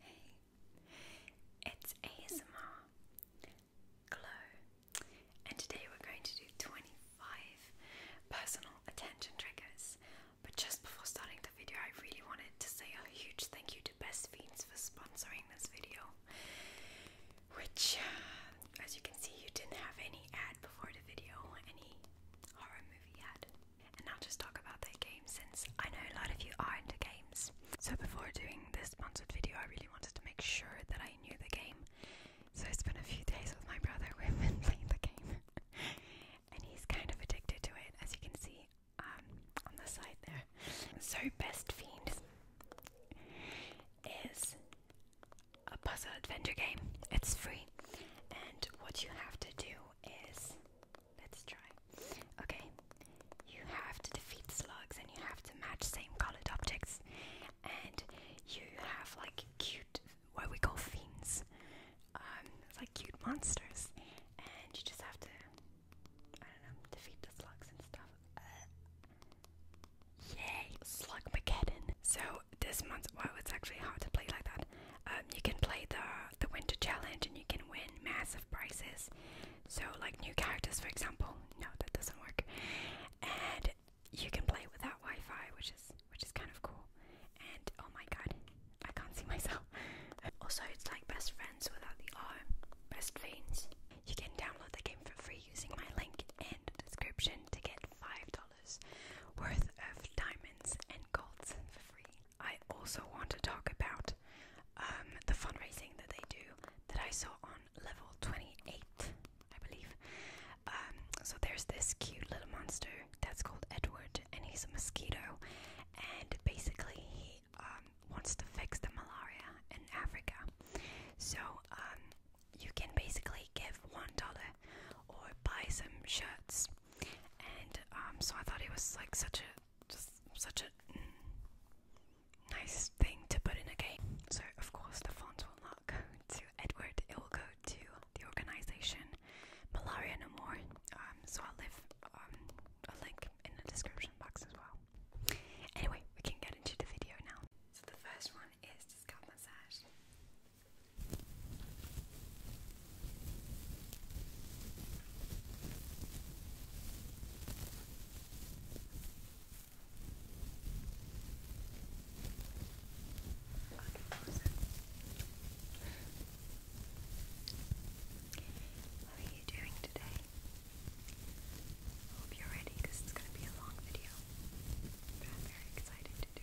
Hey, it's ASMR Glow, and today we're going to do 25 personal attention triggers. But just before starting the video, I really wanted to say a huge thank you to Best Fiends for sponsoring this video, which, um, as you can see, you didn't have any ad before the video, any horror movie ad. And I'll just talk about the game since I know a lot of you are into games. So before doing this sponsored video, I really wanted to make sure that I knew the game. So I spent a few days with my brother. We've been playing the game, and he's kind of addicted to it, as you can see um, on the side there. So Best Fiend is a puzzle adventure game. It's free, and what you have to do is Let's try. Okay, you have to defeat slugs and you have to match same colored objects, and you have like cute, what we call fiends. Um, it's like cute monsters, and you just have to, I don't know, defeat the slugs and stuff. Uh, yay, Slug Mageddon! So this month, wow, well, it's actually hard to play like that. Um, you can play the the winter challenge and you can win massive prizes. So, like new characters, for example. No, that doesn't work. And you can play without Wi-Fi, which is which is kind of cool. And oh my god, I can't see myself. also, it's like best friends without the R, best Friends. You can download the game for free using my link in the description to get five dollars worth of diamonds and golds for free. I also want to talk about um, the fundraising that they do that I saw on level 28, I believe. Um, so there's this cute little monster that's called Edward, and he's a mosquito, and basically he um, wants to fix the malaria in Africa. So you can basically give one dollar or buy some shirts, and so I thought it was like such a just such a nice thing to put in a game. So, of course, the funds will not go to Edward, it will go to the organization Malaria No More. Um, so, I'll leave um, a link in the description box as well. Anyway, we can get into the video now. So, the first one is the scalp massage. How are you doing today? I hope you're ready because it's going to be a long video, but I'm very excited to do it.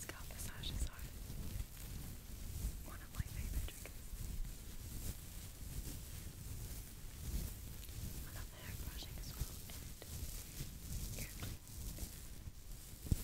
Scalp massages are one of my favorite triggers. I love hair brushing as well and ear cleaning.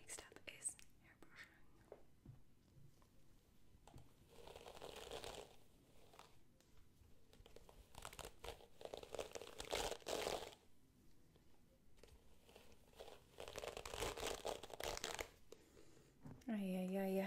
Next up is hair brushing. Yeah, yeah, yeah.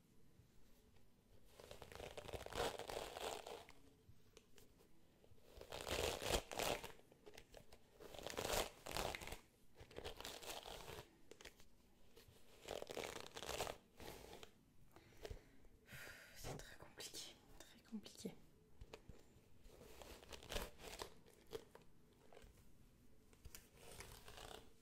C'est très compliqué, très compliqué.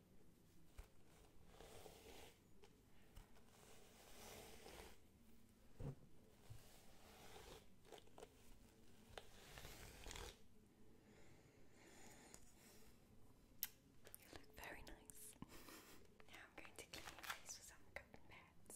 You look very nice. now I'm going to clean your with some cotton pads.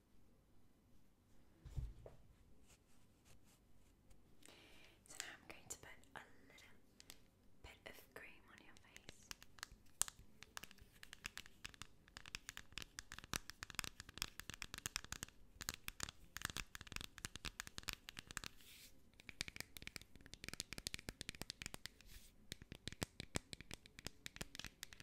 So now I'm going to put a little bit of cream on your face.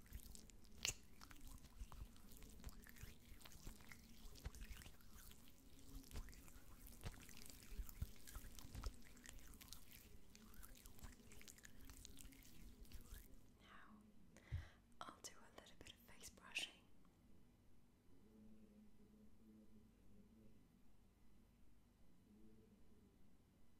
Now, I'll do a little bit of face brushing.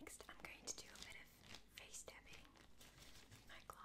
Next, I'm going to do a bit of face tapping my gloves.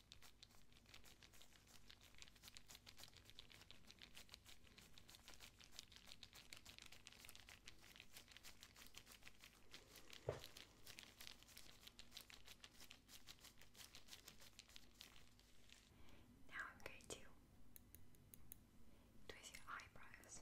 Now I'm going to twist your eyebrows.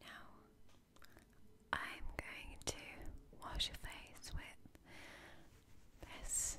Now I'm going to wash your face with this.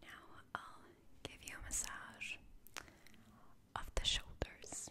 Now I'll give you a massage of the shoulders.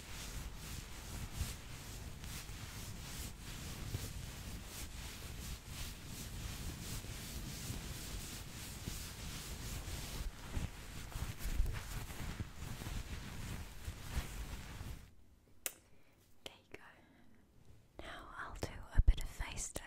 There you go. Now I'll do a bit of face touching.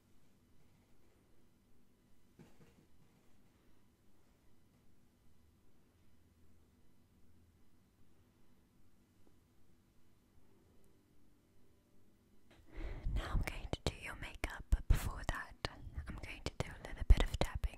Now I'm going to do your makeup, but before that, I'm going to do a little bit of tapping.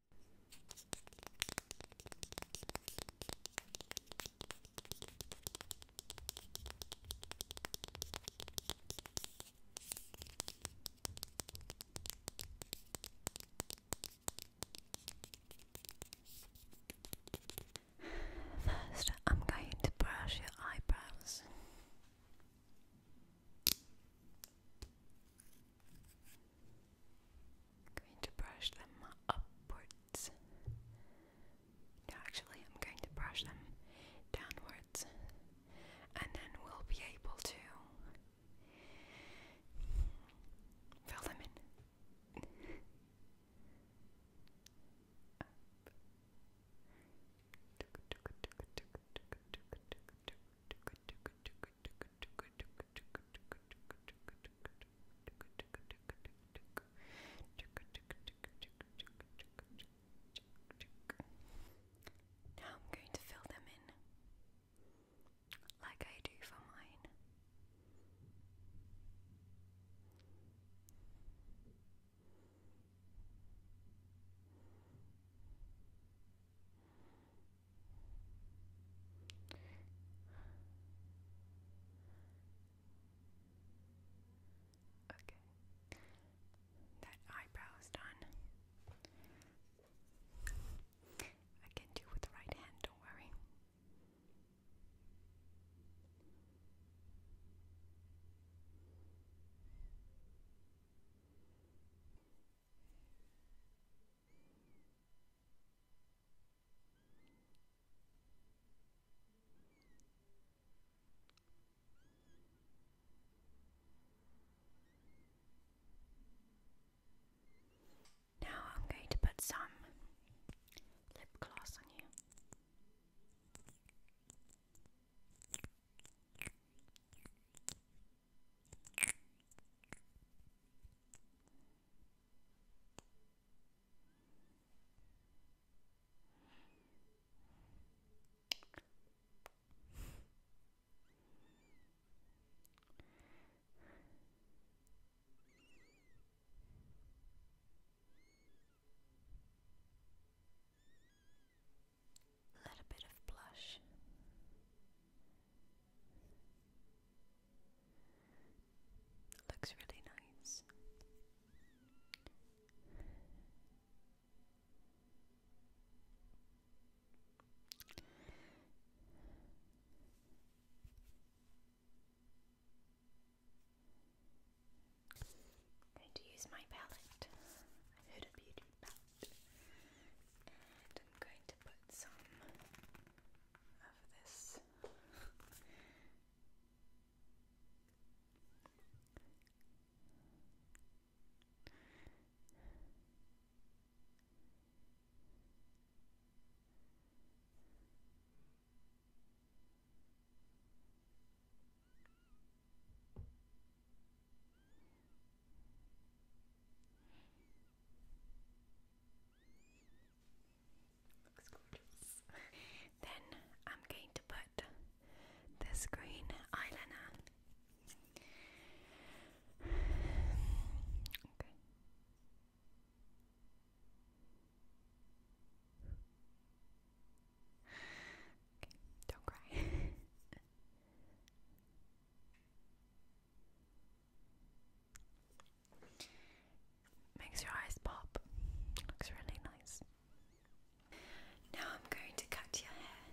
First, I'm going to brush your eyebrows. Going to brush them upwards. actually, I'm going to brush them downwards, and then we'll be able to fill them in. Now I'm going to fill them in like I do for mine. Okay. That eyebrow's done. I can do with the right hand, don't worry. Now I'm going to put some lip gloss on you. A little bit of blush. Looks really nice. going to use my palette. i heard it beautiful about. And I'm going to put some of this Looks gorgeous. then I'm going to put this green eyeliner. Okay. Okay, don't cry. Makes your eyes pop. Looks really nice. Now I'm going to cut your hair.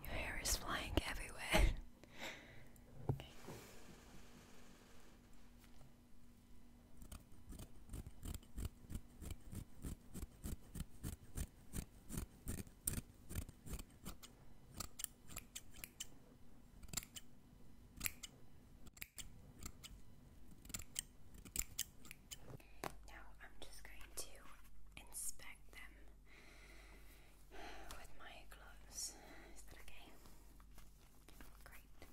Your hair is flying everywhere. Now I'm just going to inspect them with my gloves. Is that okay? Great.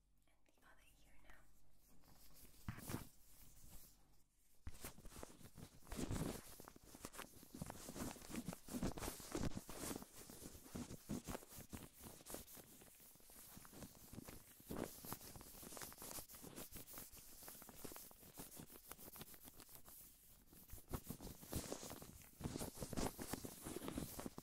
and the other ear now. Okay,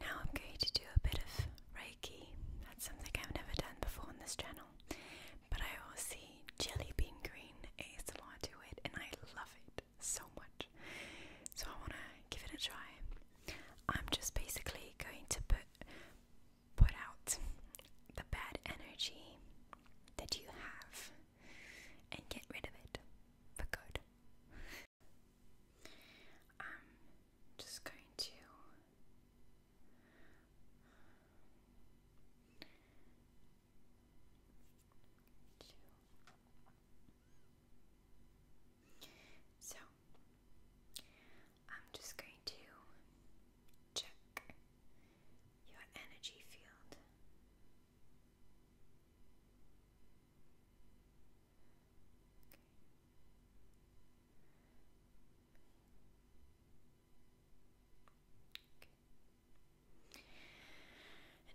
Now I'm going to do a bit of Reiki. That's something I've never done before on this channel. But I always see Jelly Bean Green ASMR to it, and I love it so much. So I want to give it a try. I'm just basically going to put put out the bad energy that you have and get rid of it for good. I'm just going to so I'm just going to check your energy field.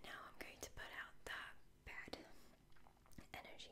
Okay. And now I'm going to put out that bad energy.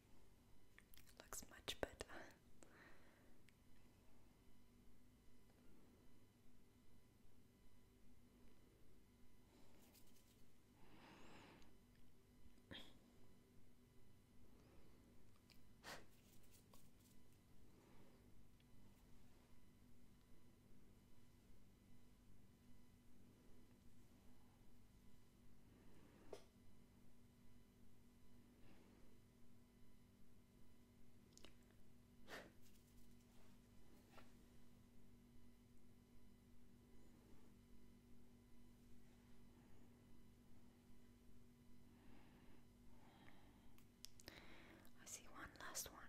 Looks much better. I see one last one.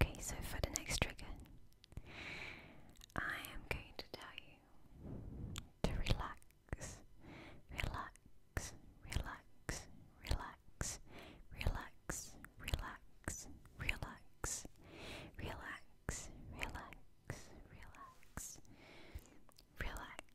Okay, so for the next trigger, I am going to tell you to relax, relax, relax, relax, relax, relax, relax, relax, relax, relax, relax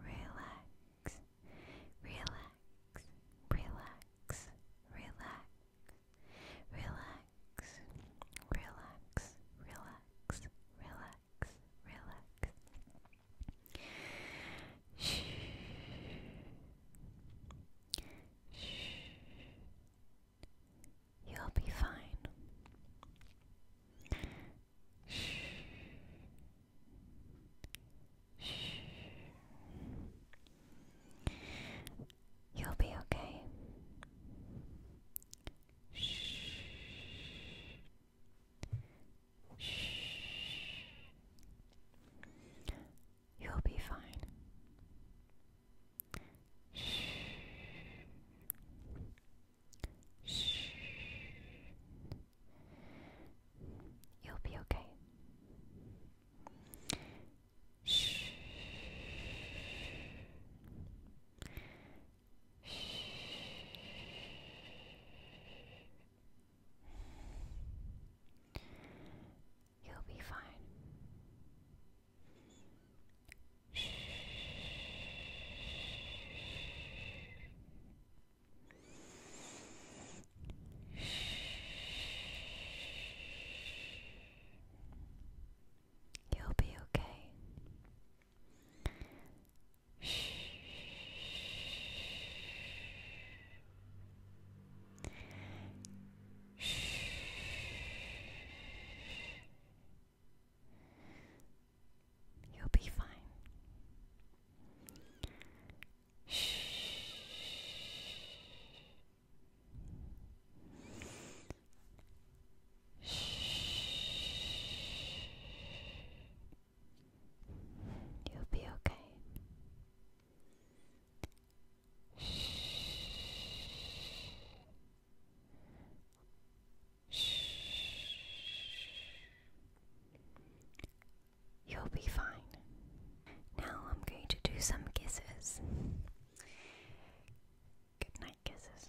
relax, relax, relax, relax, relax, relax, relax, relax, relax. Shh. Shh. You'll be fine. Shh. Shh. You'll be okay. Shh. Shh. You'll be fine. Shh. Shh. You'll be okay. Shh. Shh. You'll be fine. Shh. You'll be okay. You'll be fine. Shh. Shh. You'll be okay. Shh. Shh. You'll be fine. Now I'm going to do some kisses. Good night, kisses. Good night, kisses.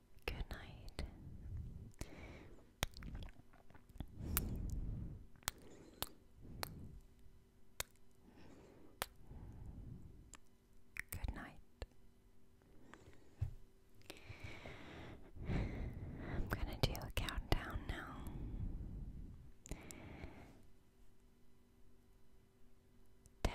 Good night. Good night. I'm going to do a countdown now. Ten,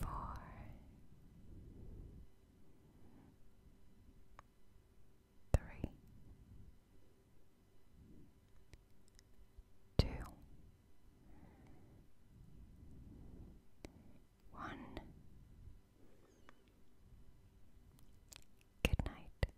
four, three, two, one. Good night.